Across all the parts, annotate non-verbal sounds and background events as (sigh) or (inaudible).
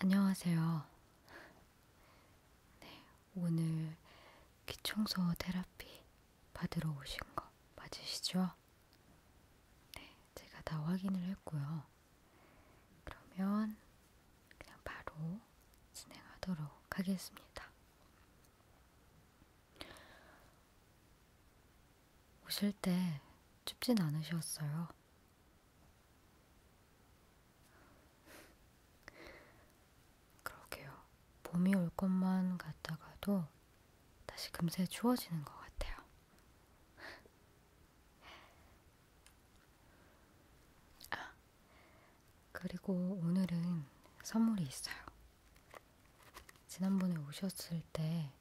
안녕하세요. 네, 오늘 귀청소 테라피 받으러 오신 거 맞으시죠? 네, 제가 다 확인을 했고요. 그러면 그냥 바로 진행하도록 하겠습니다. 오실 때 춥진 않으셨어요. 그러게요. 봄이 올 것만 같다가도 다시 금세 추워지는 것 같아요. 아, 그리고 오늘은 선물이 있어요. 지난번에 오셨을 때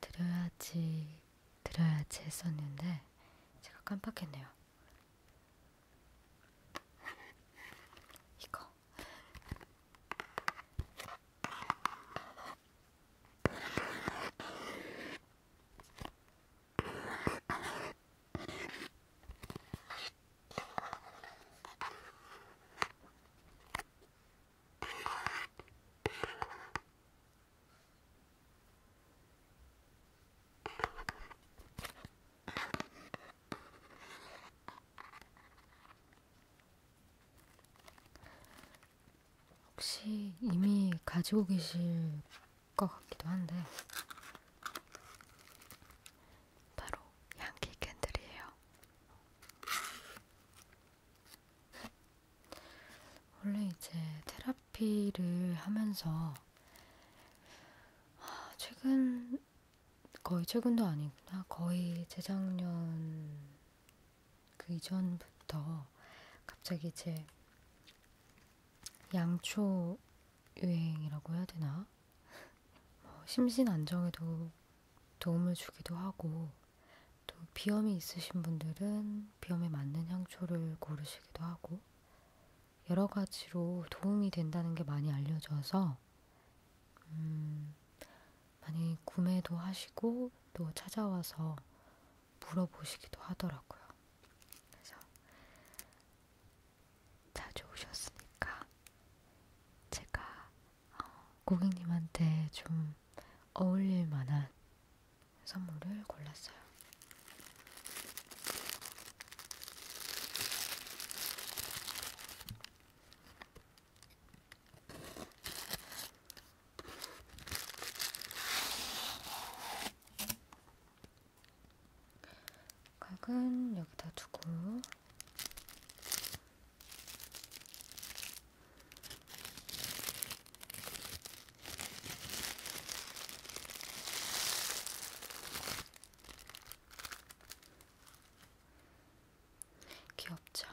드려야지, 드려야지 했었는데 제가 깜빡했네요. 이거. 혹시 이미 가지고 계실 것 같기도 한데 바로 향기 캔들이에요. 원래 이제 테라피를 하면서 아, 최근 거의 최근도 아니구나 거의 재작년 그 이전부터 갑자기 제 양초 유행이라고 해야 되나 뭐 심신 안정에도 도움을 주기도 하고 또 비염이 있으신 분들은 비염에 맞는 향초를 고르시기도 하고 여러 가지로 도움이 된다는 게 많이 알려져서 음, 많이 구매도 하시고 또 찾아와서 물어보시기도 하더라고요. 그래서 자주 오셨으니까 제가 고객님한테 좀 어울릴 만한 선물을 골랐어요. 각은 여기다 두고 귀엽죠?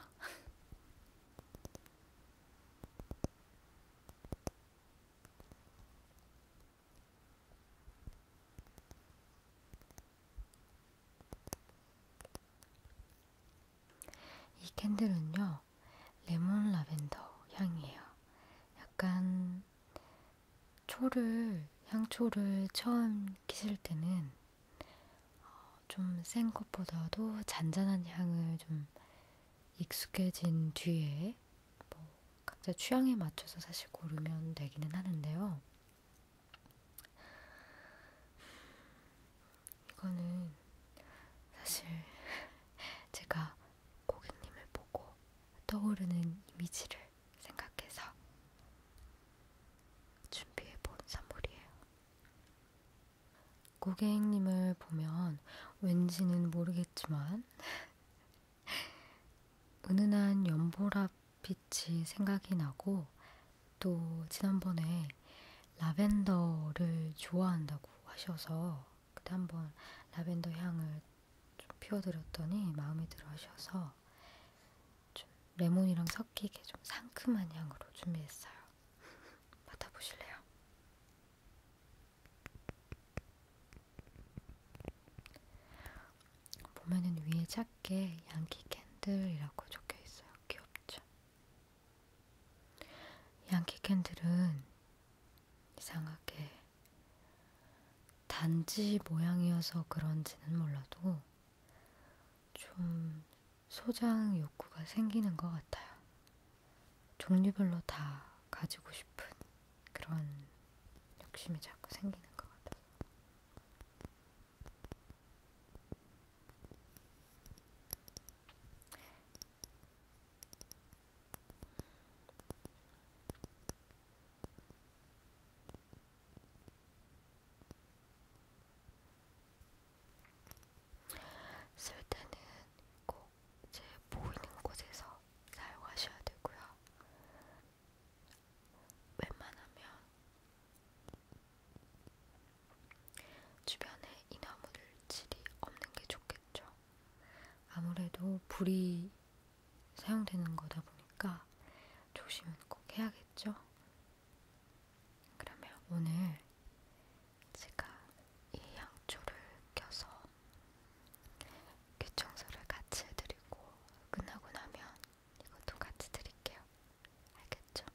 이 캔들은요, 레몬 라벤더 향이에요. 약간 초를, 향초를 처음 키실 때는 어, 좀센 것보다도 잔잔한 향을 좀 익숙해진 뒤에 뭐 각자 취향에 맞춰서 사실 고르면 되기는 하는데요. 이거는 사실 (laughs) 제가 고객님을 보고 떠오르는 이미지를 생각해서 준비해본 선물이에요. 고객님을 보면 왠지는 모르겠지만 (laughs) 은은한 연보라 빛이 생각이 나고 또 지난번에 라벤더를 좋아한다고 하셔서 그때 한번 라벤더 향을 좀 피워드렸더니 마음에 들어 하셔서 좀 레몬이랑 섞이게 좀 상큼한 향으로 준비했어요. (laughs) 맡아보실래요? 보면은 위에 작게 양키 캔들이라고 적혀 있어요. 귀엽죠? 양키 캔들은 이상하게 단지 모양이어서 그런지는 몰라도 좀 소장 욕구가 생기는 것 같아요. 종류별로 다 가지고 싶은 그런 욕심이 자꾸 생기는 것 같아요. 쓸 때는 꼭 제 보이는 곳에서 사용하셔야 되고요. 웬만하면 주변에 인화물질이 없는 게 좋겠죠. 아무래도 불이 사용되는 거다 보니까 조심은 꼭 해야겠죠. 그러면 오늘 제가 이 양초를 껴서 귀청소를 같이 해드리고 끝나고 나면 이것도 같이 드릴게요. 알겠죠?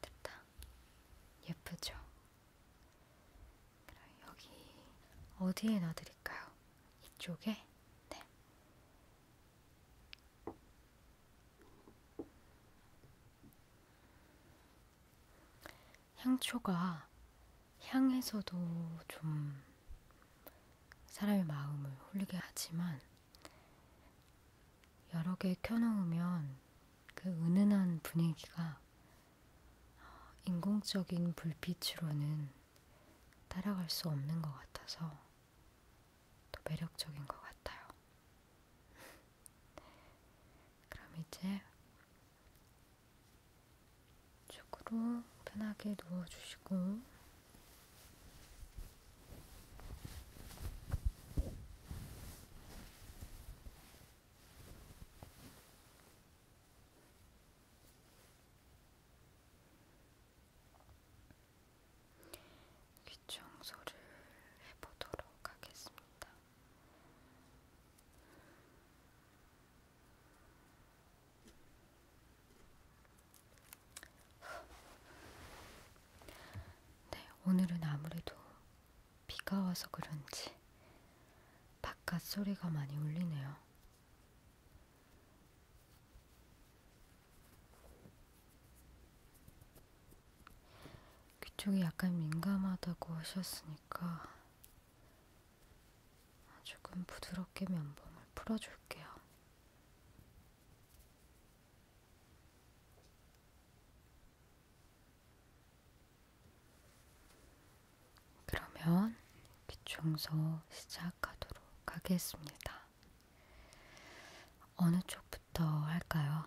됐다. 예쁘죠? 그럼 여기 어디에 넣어드릴까요? 이쪽에? 네. 향초가 향에서도 좀 사람의 마음을 홀리게 하지만 여러 개 켜놓으면 그 은은한 분위기가 인공적인 불빛으로는 따라갈 수 없는 것 같아서 더 매력적인 것 같아요. (laughs) 그럼 이제 쪽으로 편하게 누워주시고 귀 청소를 해보도록 하겠습니다. 네, 오늘은 아무래도 비가 와서 그런지 바깥 소리가 많이 울리네요. 귀쪽이 약간 민감하다고 하셨으니까 조금 부드럽게 면봉을 풀어줄게요. 그러면 귀청소 시작하도록 하겠습니다. 어느 쪽부터 할까요?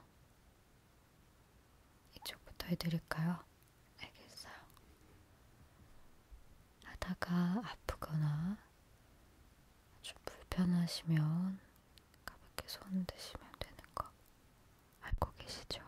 이쪽부터 해드릴까요? 알겠어요. 하다가 아프거나 좀 불편하시면 가볍게 손 드시면 되는 거 알고 계시죠? 음.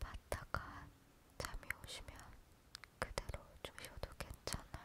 봤다가 잠이 오시면 그대로 주셔도 괜찮아요.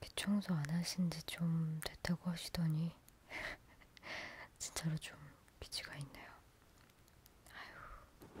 귀청소 안 하신 지좀 됐다고 하시더니 (laughs) 진짜로 좀 비지가 있네요. 아유.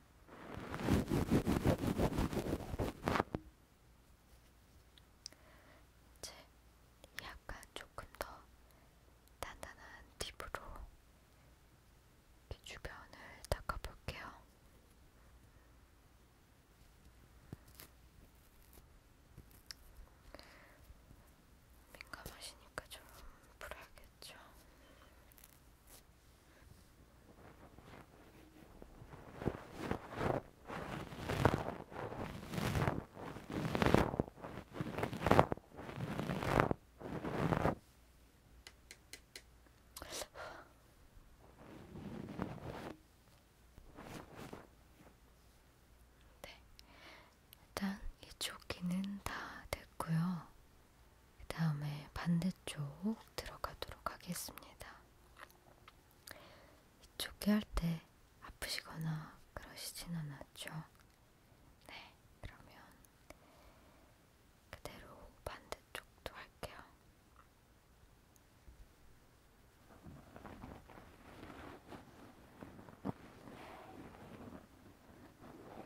이제 약간 조금 더 단단한 팁으로 귀 주변을 닦아볼게요. 민감하시니까 좀 풀어야겠죠. 네, 일단 이쪽 귀는 다 됐고요. 그 다음에 반대쪽 들어가도록 하겠습니다. 이쪽에 할 때 아프시거나 그러시진 않았죠? 네, 그러면 그대로 반대쪽도 할게요.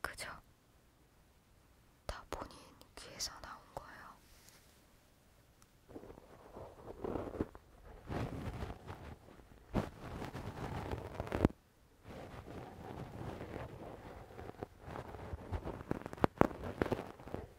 그죠? 다 본인 귀에서 나온 거예요.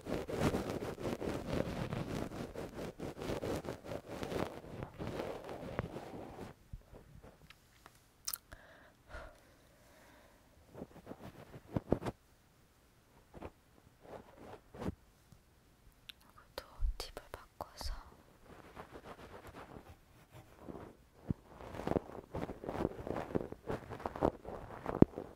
이것도 팁을 바꿔서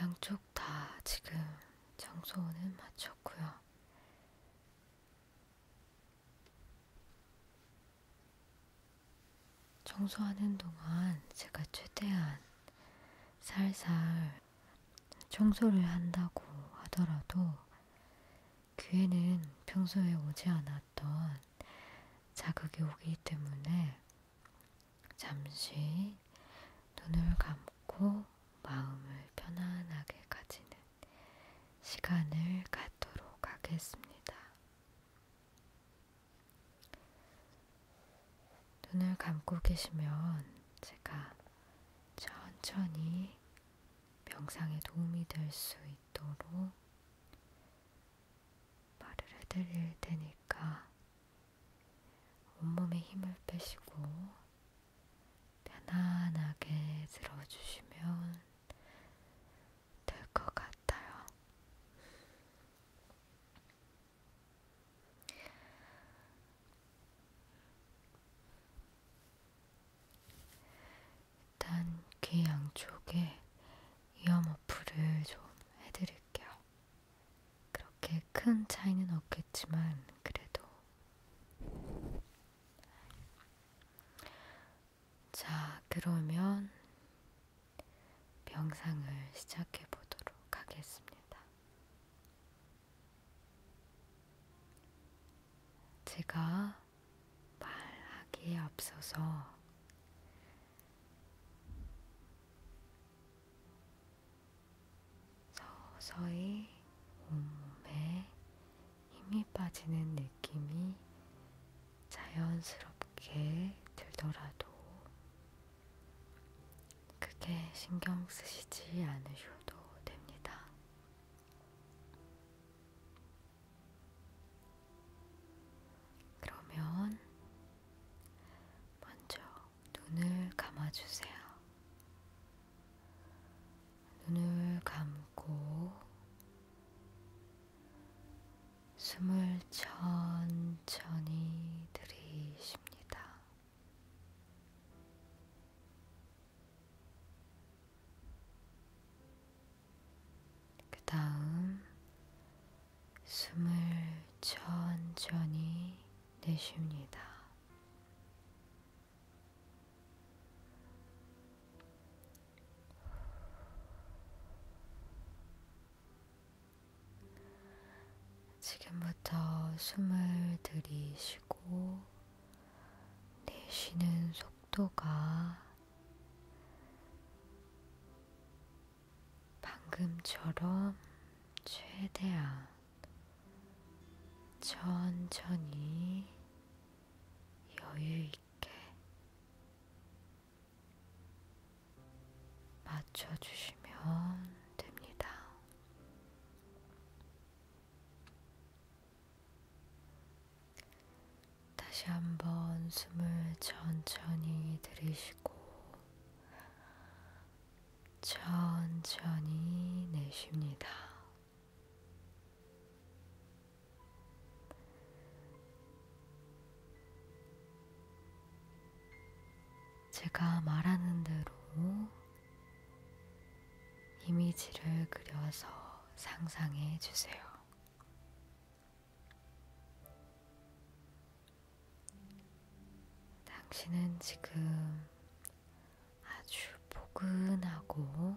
양쪽 다 지금 청소는 마쳤고요. 청소하는 동안 제가 최대한 살살 청소를 한다고 하더라도 귀에는 평소에 오지 않았던 자극이 오기 때문에 잠시 눈을 감고 마음을 편안하게 가지는 시간을 갖도록 하겠습니다. 눈을 감고 계시면 제가 천천히 명상에 도움이 될 수 있도록 말을 해드릴 테니까 온몸에 힘을 빼시고 편안하게 들어주시면 될 것 같아요. 일단 귀 양쪽에 이어 머프를 좀 해드릴게요. 그렇게 큰 차이는 없겠지만 그래도 자 그러면 명상을 시작해 보도록 하겠습니다. 제가 말하기에 앞서서 서서히 온몸에 힘이 빠지는 느낌이 자연스럽게 들더라도 크게 신경 쓰시지 않으셔도 됩니다. 그러면 먼저 눈을 감아주세요. 눈을 감고 숨을 천천히 들이십니다. 그 다음 숨을 천천히 내쉽니다. 지금부터 숨을 들이쉬고 내쉬는 속도가 방금처럼 최대한 천천히 여유 있게 맞춰주시면 됩니다. 다시 한번 숨을 천천히 들이쉬고 천천히 내쉽니다. 제가 말하는 대로 이미지를 그려서 상상해 주세요. 당신은 지금 아주 포근하고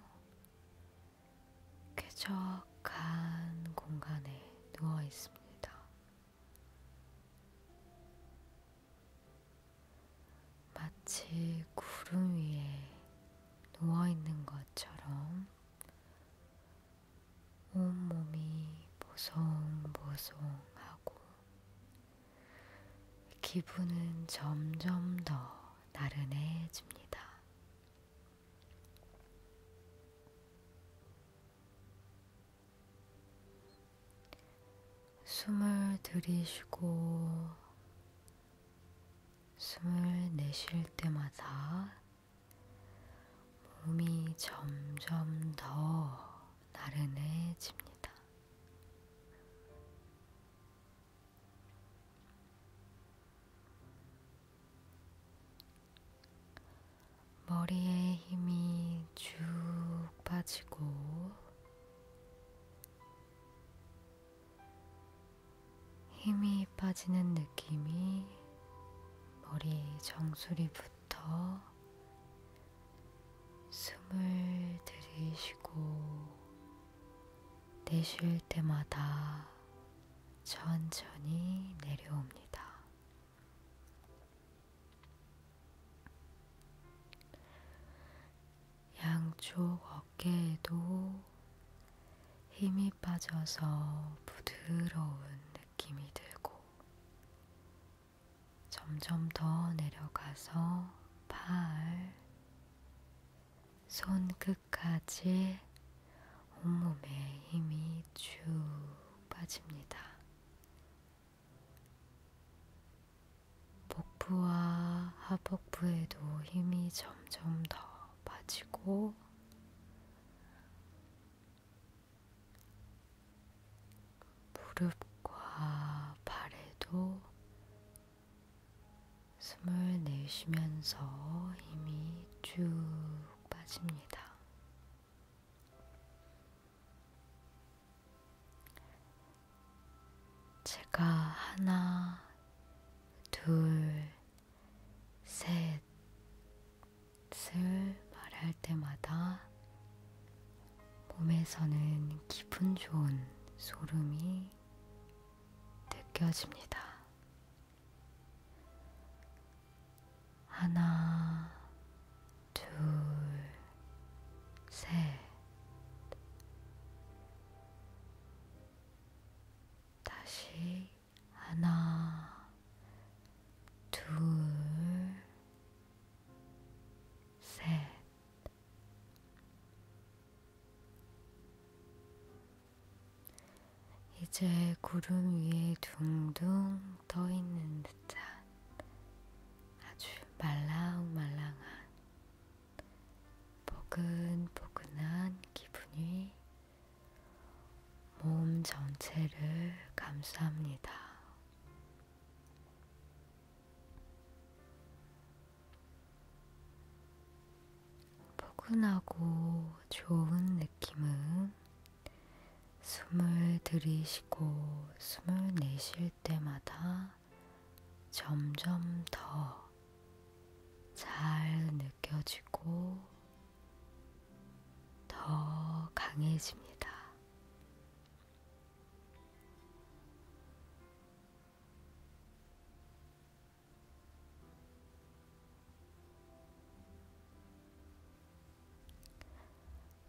쾌적한 공간에 누워 있습니다. 마치 구름 위에 누워 있는 것처럼 온몸이 보송보송하고 기분은 점점 더 나른해집니다. 숨을 들이쉬고 숨을 내쉴 때마다 몸이 점점 더 나른해집니다. 머리에 힘이 쭉 빠지고 힘이 빠지는 느낌이 머리 정수리부터 숨을 들이쉬고 내쉴 때마다 천천히 내려옵니다. 양쪽 어깨에도 힘이 빠져서 부드러운 느낌이 들고 점점 더 내려가서 팔, 손끝까지 온몸에 힘이 쭉 빠집니다. 복부와 하복부에도 힘이 점점 더 빠지고 무릎과 발에도 숨을 내쉬면서 힘이 쭉 빠집니다. 제가 하나, 둘, 셋을 말할 때마다 몸에서는 기분 좋은 소름이 느껴집니다. 하나, 둘, 셋. 다시 하나, 둘, 셋. 이제 구름 위에 둥둥 떠 있는 듯한 아주 말랑말랑한 포근포근한 기분이 몸 전체를 감쌉니다. 포근하고 좋은 느낌은 숨을 들이쉬고 숨을 내쉴 때마다 점점 더잘 느껴지고 더 강해집니다.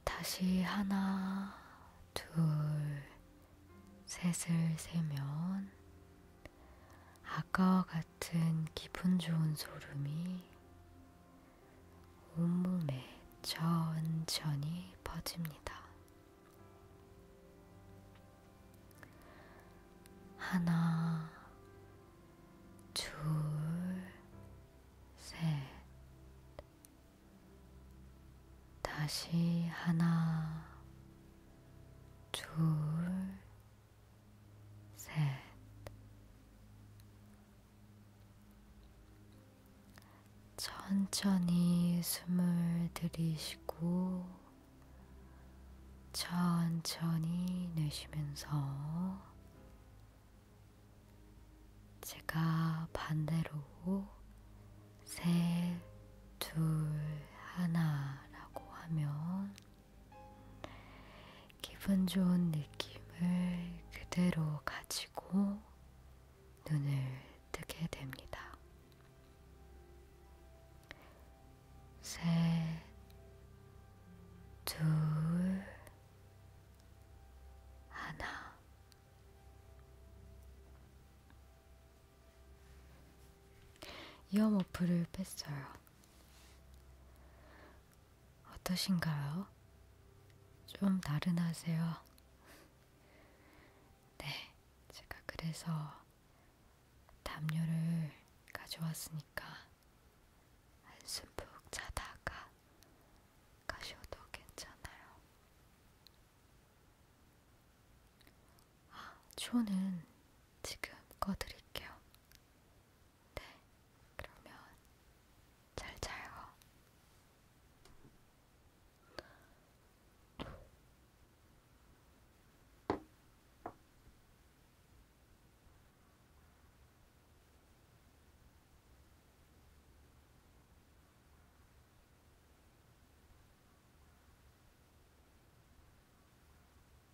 다시 하나, 둘, 셋을 세면 아까와 같은 기분 좋은 소름이 온몸에 천천히 퍼집니다. 하나, 둘, 셋. 다시 하나, 둘, 셋, 천천히 숨을 들이쉬고, 천천히 내쉬면서, 제가 반대로 셋, 둘, 하나라고 하면 기분 좋은 느낌을 그대로 가지고 눈을 뜨게 됩니다. 셋, 둘, 하나. 이어머프를 뺐어요. 어떠신가요? 좀 다른 하세요. (laughs) 네, 제가 그래서 담요를 가져왔으니까 한숨 푹 자다가 가셔도 괜찮아요. 아, 조는 지금 꺼드릴게요. 네, 그러면 잘 자요.